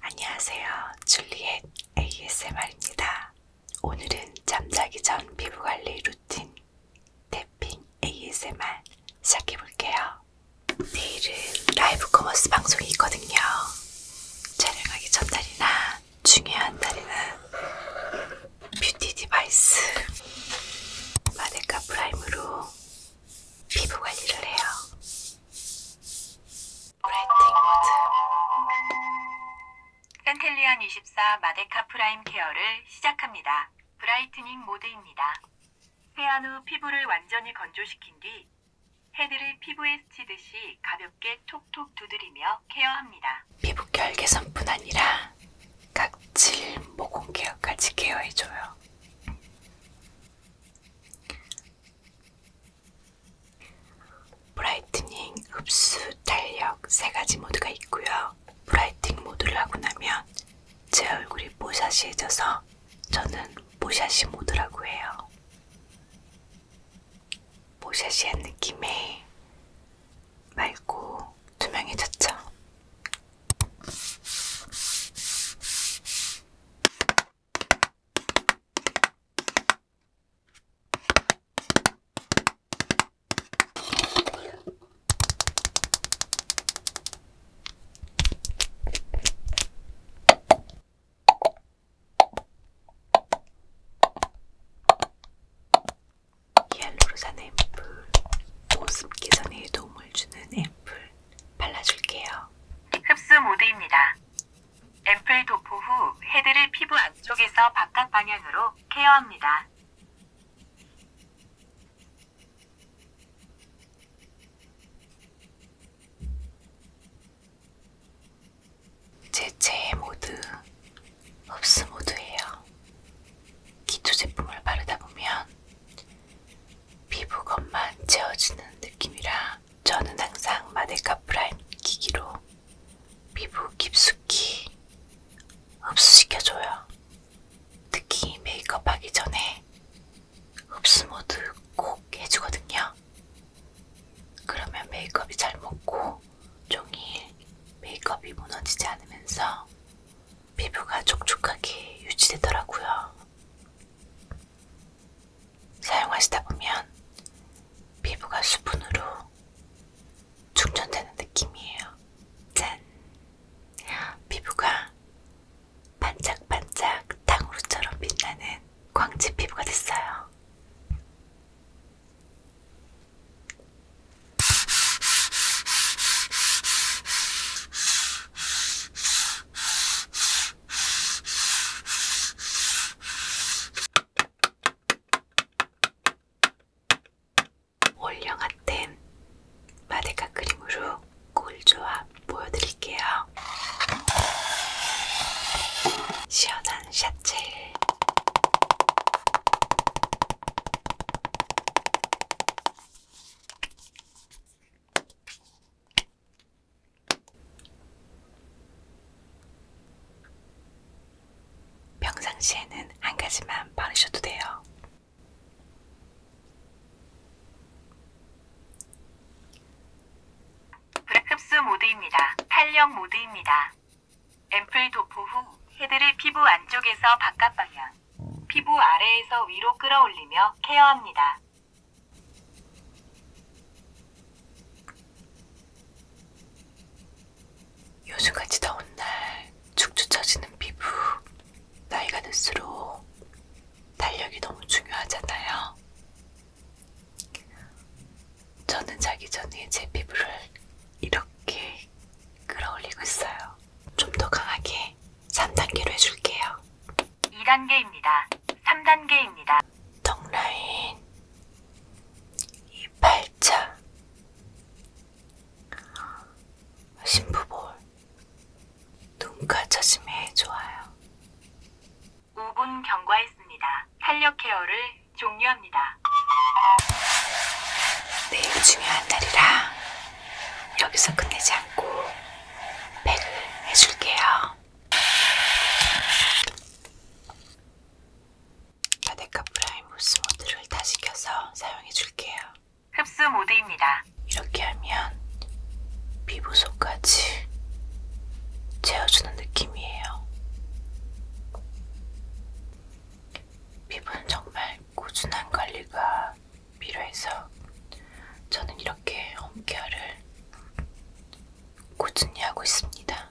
안녕하세요. 줄리엣 ASMR입니다. 오늘은 잠자기 전 피부관리 루틴 탭핑 ASMR 시작해볼게요. 내일은 라이브 커머스 방송이 있거든요. 촬영하기 전날이나 중요한 날이나 뷰티 디바이스 마데카 프라임으로 피부관리를 해요. 센텔리안 24 마데카 프라임 케어를 시작합니다. 브라이트닝 모드입니다. 세안 후 피부를 완전히 건조시킨 뒤 헤드를 피부에 스치듯이 가볍게 톡톡 두드리며 케어합니다. 피부 결계선뿐 아니라 각질, 모공 케어까지 케어해줘요. 브라이트닝, 흡수, 탄력 세 가지 모드가 있고요. 브라이팅 모드를 하고 나면 제 얼굴이 뽀샤시해져서 저는 뽀샤시 모드라고 해요. 뽀샤시한 느낌에 맑고 투명해졌죠. 옐로르산 앰플 보습 개선에 도움을 주는 앰플 발라줄게요. 흡수 모드입니다. 앰플 도포 후 헤드를 피부 안쪽에서 바깥 방향으로 케어합니다. 제 체의 모드, 흡수 모드예요. 기초 제품을 바르다 보면 피부 겉만 채워주는 느낌이라 저는 항상 마데카 프라임 기기로 피부 깊숙이 흡수시켜줘요. 특히 메이크업하기 전에 흡수 모드 꼭 해주거든요. 그러면 메이크업이 잘 먹고 종일 메이크업이 무너지지 않으면서 피부가 촉촉하게 유지되더라고요. 사용하시다 보면 피부가 수분으로 충전되는 느낌이에요. 짠! 피부가 반짝반짝 탕후루처럼 빛나는 광채 피부가 됐어요. 올영아템 마데카 크림으로 꿀조합 보여드릴게요. 시원한 샷젤 평상시에는 한 가지만 바르셔도 돼요. 브레급스 모드입니다. 탄력 모드입니다. 앰플 도포 후 헤드를 피부 안쪽에서 바깥 방향, 피부 아래에서 위로 끌어올리며 케어합니다. 요즘같이 더운 날 축축 처지는 피부 나이가 들수록 달력이 너무 중요하잖아요. 저는 자기 전에 제 피부를 이렇게 끌어올리고 있어요. 좀 더 강하게 3단계로 해줄게요. 2단계입니다. 3단계입니다. 덕라인 28차 신부볼 눈가차심에 좋아요. 5분 경과했습니다. 탄력 케어를 종료합니다. 내일 중요한 날이라 여기서 끝내지 않고 백을 해줄게요. 바데카 프라임 흡수 모드를 다시 켜서 사용해 줄게요. 흡수 모드입니다. 이렇게 하면 피부 속까지 채워주는 느낌이에요. 피부는 정말 꾸준한 관리가 필요해서 저는 이렇게 홈케어를 꾸준히 하고 있습니다.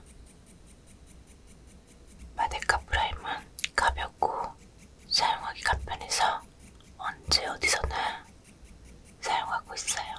마데카 프라임은 가볍고 사용하기 간편해서 언제 어디서나 사용하고 있어요.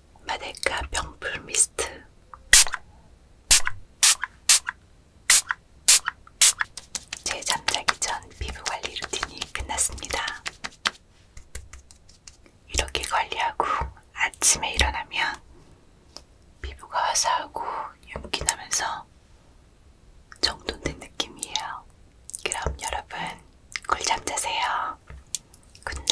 마데카 명품 미스트 제 잠자기 전 피부관리 루틴이 끝났습니다. 이렇게 관리하고 아침에 일어나면 피부가 화사하고 윤기 나면서 정돈된 느낌이에요. 그럼 여러분 꿀잠 자세요. 굿나잇.